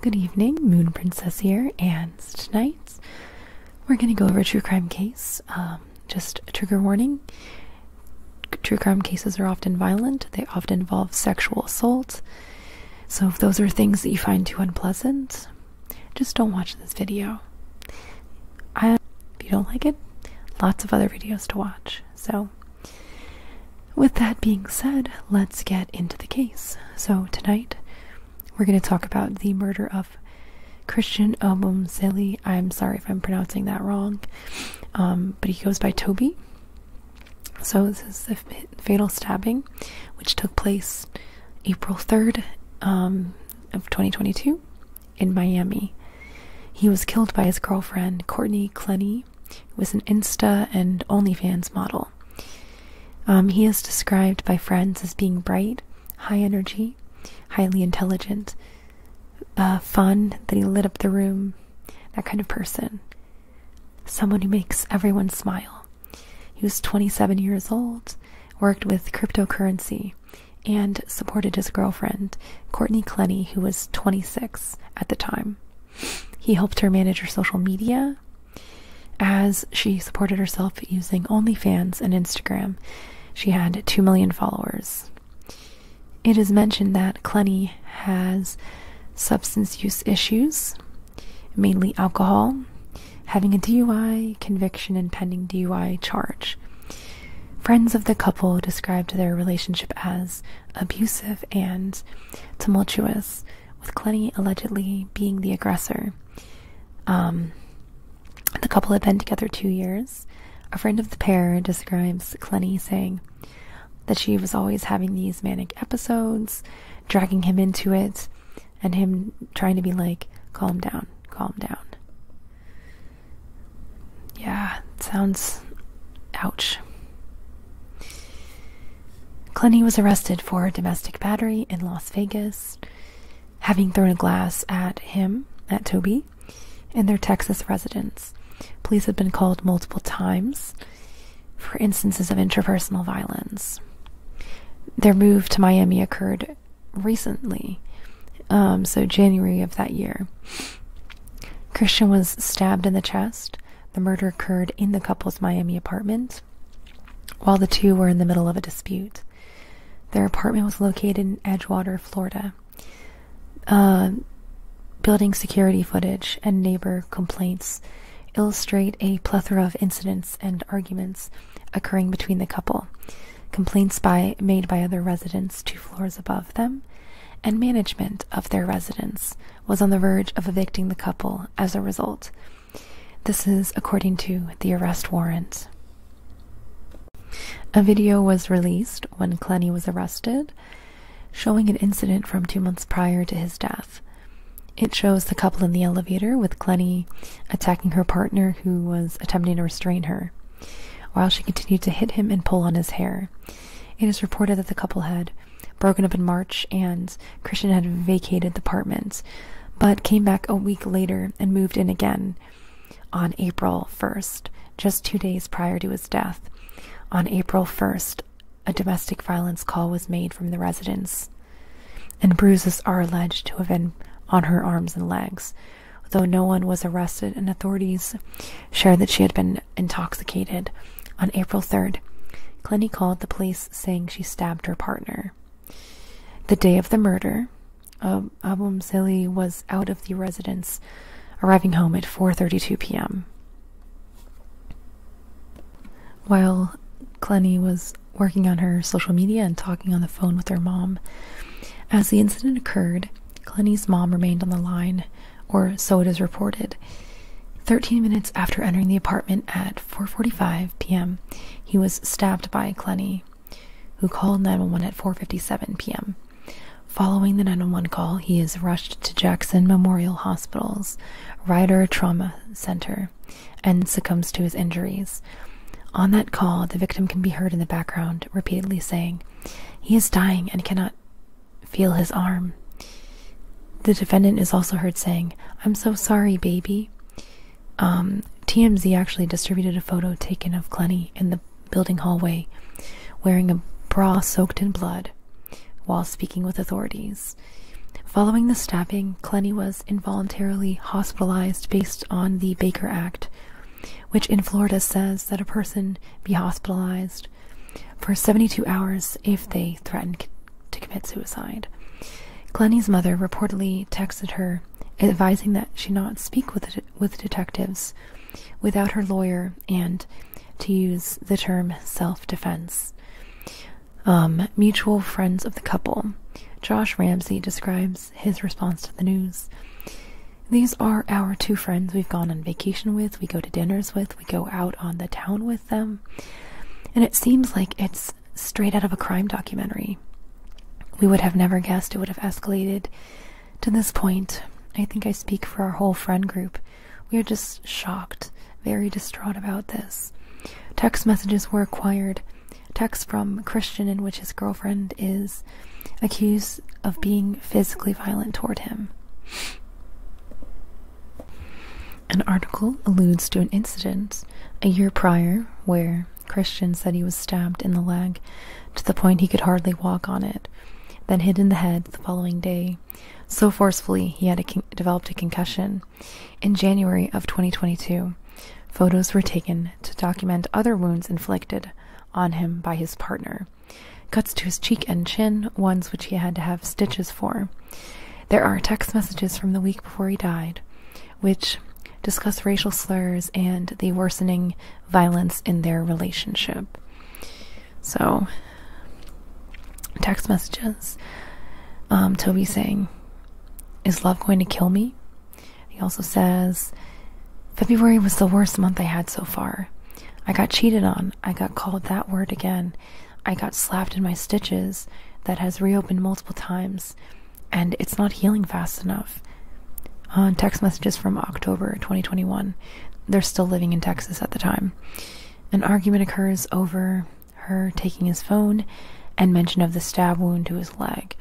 Good evening, Moon Princess here, and tonight we're going to go over a true crime case. Um, just a trigger warning true crime cases are often violent, they often involve sexual assault. So if those are things that you find too unpleasant, just don't watch this video. if you don't like it, lots of other videos to watch. So with that being said, let's get into the case. So, tonight we're going to talk about the murder of Christian Obumzeli. I'm sorry if I'm pronouncing that wrong, um, but he goes by Toby. So, this is a fatal stabbing, which took place April 3rd um, of 2022 in Miami. He was killed by his girlfriend, Courtney Clenny, was an Insta and OnlyFans model. Um, he is described by friends as being bright, high energy, highly intelligent, uh, fun, that he lit up the room, that kind of person. Someone who makes everyone smile. He was 27 years old, worked with cryptocurrency, and supported his girlfriend, Courtney Clenny, who was 26 at the time. He helped her manage her social media as she supported herself using OnlyFans and Instagram. She had 2 million followers. It is mentioned that Clenny has substance use issues, mainly alcohol, having a DUI conviction and pending DUI charge. Friends of the couple described their relationship as abusive and tumultuous, with Clenny allegedly being the aggressor. Um, the couple had been together two years. A friend of the pair describes Clenny saying that she was always having these manic episodes, dragging him into it, and him trying to be like, calm down, calm down. Yeah, sounds. ouch. Clenny was arrested for domestic battery in Las Vegas, having thrown a glass at him, at Toby, in their Texas residence. Police had been called multiple times for instances of interpersonal violence. Their move to Miami occurred recently. Um, so, January of that year. Christian was stabbed in the chest. The murder occurred in the couple's Miami apartment while the two were in the middle of a dispute. Their apartment was located in Edgewater, Florida. Um, building security footage and neighbor complaints illustrate a plethora of incidents and arguments occurring between the couple complaints by, made by other residents two floors above them, and management of their residence was on the verge of evicting the couple as a result. This is according to the arrest warrant. A video was released when Clenny was arrested, showing an incident from two months prior to his death. It shows the couple in the elevator with Clenny attacking her partner who was attempting to restrain her while she continued to hit him and pull on his hair. It is reported that the couple had broken up in March and Christian had vacated the apartment, but came back a week later and moved in again on April 1st, just two days prior to his death. On April 1st, a domestic violence call was made from the residence, and bruises are alleged to have been on her arms and legs. Though no one was arrested, and authorities shared that she had been intoxicated. On April 3rd, Clinty called the police saying she stabbed her partner. The day of the murder, um, Abumzili was out of the residence, arriving home at 4:32 p.m. While Clenny was working on her social media and talking on the phone with her mom. As the incident occurred, Clenny's mom remained on the line, or so it is reported. 13 minutes after entering the apartment at 4:45 p.m., he was stabbed by Clenny, who called 911 at 4:57 p.m. Following the 911 call, he is rushed to Jackson Memorial Hospital's Ryder Trauma Center and succumbs to his injuries. On that call, the victim can be heard in the background repeatedly saying, He is dying and cannot feel his arm. The defendant is also heard saying, I'm so sorry, baby. Um, TMZ actually distributed a photo taken of Clenny in the building hallway wearing a bra soaked in blood while speaking with authorities. Following the stabbing, Clenny was involuntarily hospitalized based on the Baker Act, which in Florida says that a person be hospitalized for 72 hours if they threaten to commit suicide. Glenny's mother reportedly texted her, advising that she not speak with with detectives without her lawyer and to use the term self-defense. Um, mutual friends of the couple. Josh Ramsey describes his response to the news. These are our two friends we've gone on vacation with, we go to dinners with, we go out on the town with them. And it seems like it's straight out of a crime documentary. We would have never guessed it would have escalated to this point. I think I speak for our whole friend group. We are just shocked, very distraught about this. Text messages were acquired text from Christian in which his girlfriend is accused of being physically violent toward him. An article alludes to an incident a year prior where Christian said he was stabbed in the leg to the point he could hardly walk on it, then hit in the head the following day so forcefully he had developed a concussion in January of 2022, photos were taken to document other wounds inflicted on him by his partner cuts to his cheek and chin, ones which he had to have stitches for. There are text messages from the week before he died, which discuss racial slurs and the worsening violence in their relationship. So, text messages. Um, Toby saying, is love going to kill me? He also says, February was the worst month I had so far. I got cheated on. I got called that word again. I got slapped in my stitches. That has reopened multiple times. And it's not healing fast enough. On uh, text messages from October 2021, they're still living in Texas at the time. An argument occurs over her taking his phone and mention of the stab wound to his leg,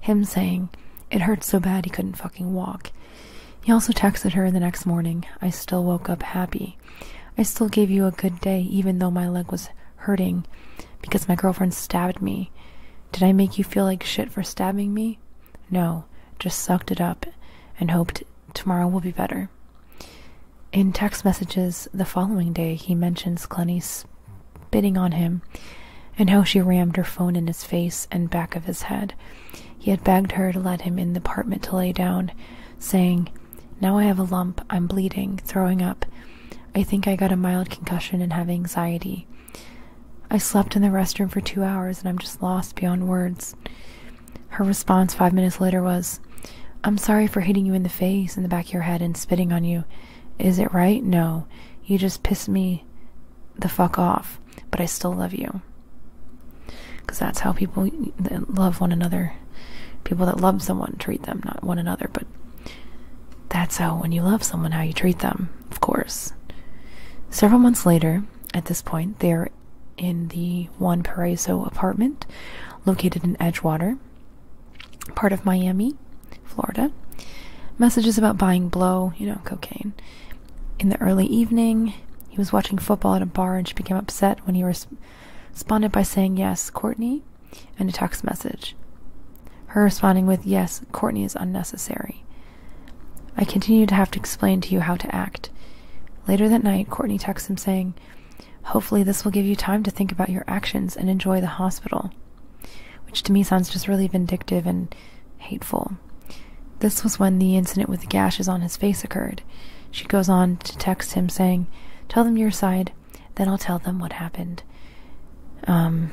him saying, It hurt so bad he couldn't fucking walk. He also texted her the next morning, I still woke up happy. I still gave you a good day even though my leg was hurting because my girlfriend stabbed me. Did I make you feel like shit for stabbing me? No, just sucked it up and hoped tomorrow will be better. In text messages the following day, he mentions Clenny spitting on him and how she rammed her phone in his face and back of his head. He had begged her to let him in the apartment to lay down, saying, Now I have a lump, I'm bleeding, throwing up. I think I got a mild concussion and have anxiety. I slept in the restroom for two hours and I'm just lost beyond words. Her response five minutes later was, I'm sorry for hitting you in the face, in the back of your head, and spitting on you. Is it right? No. You just piss me the fuck off, but I still love you. Because that's how people love one another. People that love someone treat them, not one another, but that's how, when you love someone, how you treat them, of course. Several months later, at this point, they are in the Juan Paraiso apartment located in Edgewater, part of Miami, Florida. Messages about buying blow, you know, cocaine. In the early evening, he was watching football at a bar and she became upset when he responded by saying yes, Courtney, and a text message. Her responding with yes, Courtney is unnecessary. I continue to have to explain to you how to act. Later that night, Courtney texts him saying, Hopefully, this will give you time to think about your actions and enjoy the hospital, which to me sounds just really vindictive and hateful. This was when the incident with the gashes on his face occurred. She goes on to text him saying, Tell them your side, then I'll tell them what happened. Um,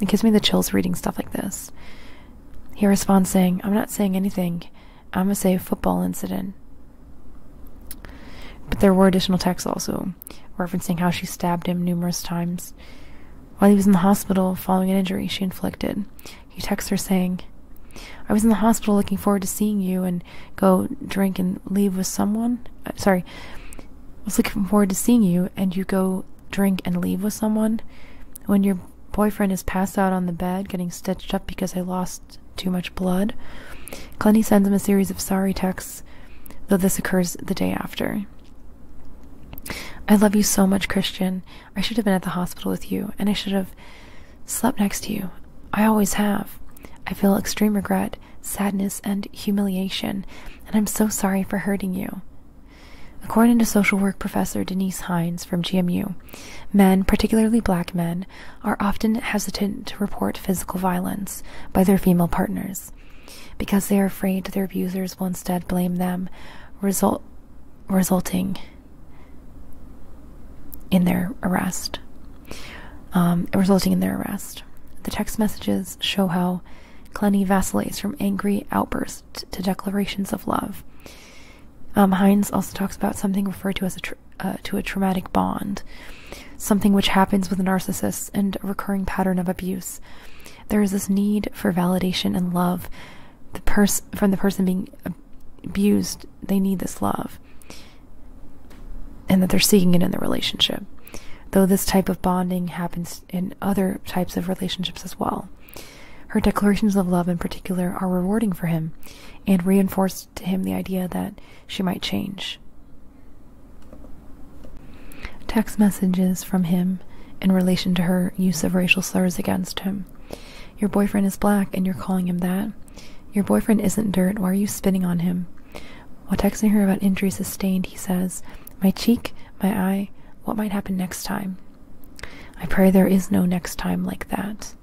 it gives me the chills reading stuff like this. He responds saying, I'm not saying anything. I'm gonna say football incident. But there were additional texts also referencing how she stabbed him numerous times while he was in the hospital following an injury she inflicted. He texts her saying, I was in the hospital looking forward to seeing you and go drink and leave with someone. Uh, sorry, I was looking forward to seeing you and you go drink and leave with someone when you're boyfriend is passed out on the bed, getting stitched up because I lost too much blood. Clenny sends him a series of sorry texts, though this occurs the day after. I love you so much, Christian. I should have been at the hospital with you, and I should have slept next to you. I always have. I feel extreme regret, sadness, and humiliation, and I'm so sorry for hurting you. According to social work professor Denise Hines from GMU, Men, particularly black men, are often hesitant to report physical violence by their female partners because they are afraid their abusers will instead blame them, um, resulting in their arrest. The text messages show how Clenny vacillates from angry outbursts to declarations of love. Um, Hines also talks about something referred to as a uh, to a traumatic bond, something which happens with narcissists and a recurring pattern of abuse. There is this need for validation and love. The person from the person being abused, they need this love, and that they're seeking it in the relationship. Though this type of bonding happens in other types of relationships as well. Her declarations of love, in particular, are rewarding for him and reinforce to him the idea that she might change. Text messages from him in relation to her use of racial slurs against him. Your boyfriend is black and you're calling him that. Your boyfriend isn't dirt. Why are you spitting on him? While texting her about injuries sustained, he says, My cheek, my eye, what might happen next time? I pray there is no next time like that.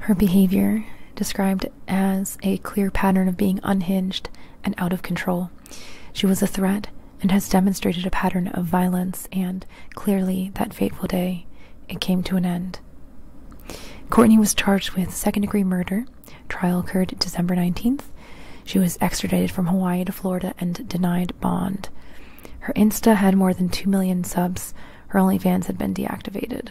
Her behavior, described as a clear pattern of being unhinged and out of control, she was a threat and has demonstrated a pattern of violence, and clearly, that fateful day, it came to an end. Courtney was charged with second degree murder. Trial occurred December 19th. She was extradited from Hawaii to Florida and denied bond. Her Insta had more than 2 million subs. Her OnlyFans had been deactivated.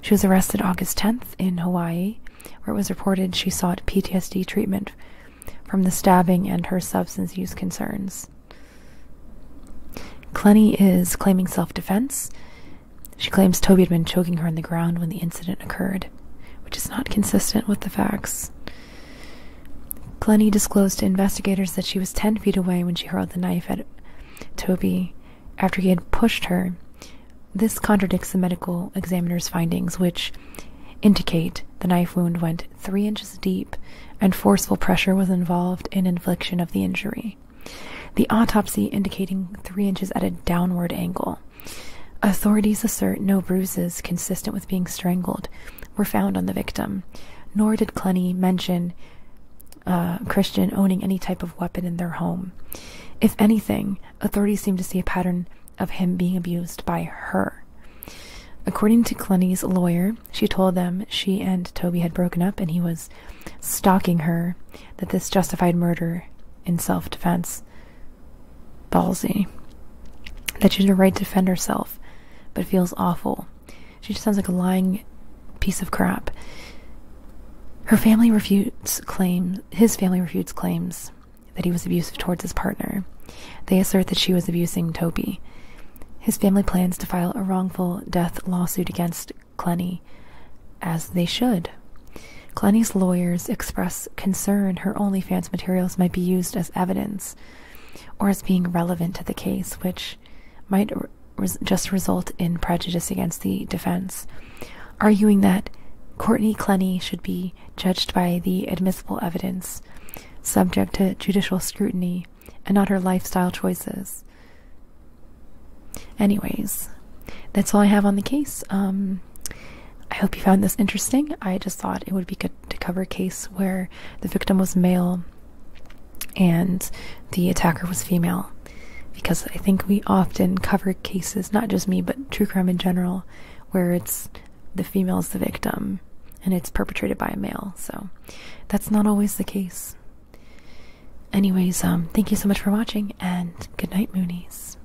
She was arrested August 10th in Hawaii, where it was reported she sought PTSD treatment from the stabbing and her substance use concerns. Clenny is claiming self defense. She claims Toby had been choking her on the ground when the incident occurred, which is not consistent with the facts. Glennie disclosed to investigators that she was 10 feet away when she hurled the knife at Toby after he had pushed her. This contradicts the medical examiner's findings, which indicate the knife wound went three inches deep and forceful pressure was involved in infliction of the injury. The autopsy indicating three inches at a downward angle. Authorities assert no bruises consistent with being strangled, were found on the victim, nor did Cluny mention uh, Christian owning any type of weapon in their home. If anything, authorities seem to see a pattern of him being abused by her. According to Cluny's lawyer, she told them she and Toby had broken up and he was stalking her, that this justified murder in self defense ballsy that she has a right to defend herself but feels awful. She just sounds like a lying piece of crap. Her family refutes claims his family refutes claims that he was abusive towards his partner. They assert that she was abusing Toby. His family plans to file a wrongful death lawsuit against Clenny, as they should. Clenny's lawyers express concern her only fan materials might be used as evidence or as being relevant to the case, which might just result in prejudice against the defense, arguing that Courtney Clenny should be judged by the admissible evidence, subject to judicial scrutiny, and not her lifestyle choices. Anyways, that's all I have on the case. Um, I hope you found this interesting. I just thought it would be good to cover a case where the victim was male and the attacker was female because I think we often cover cases, not just me, but true crime in general, where it's the female is the victim and it's perpetrated by a male. So that's not always the case. Anyways, um, thank you so much for watching and good night, Moonies.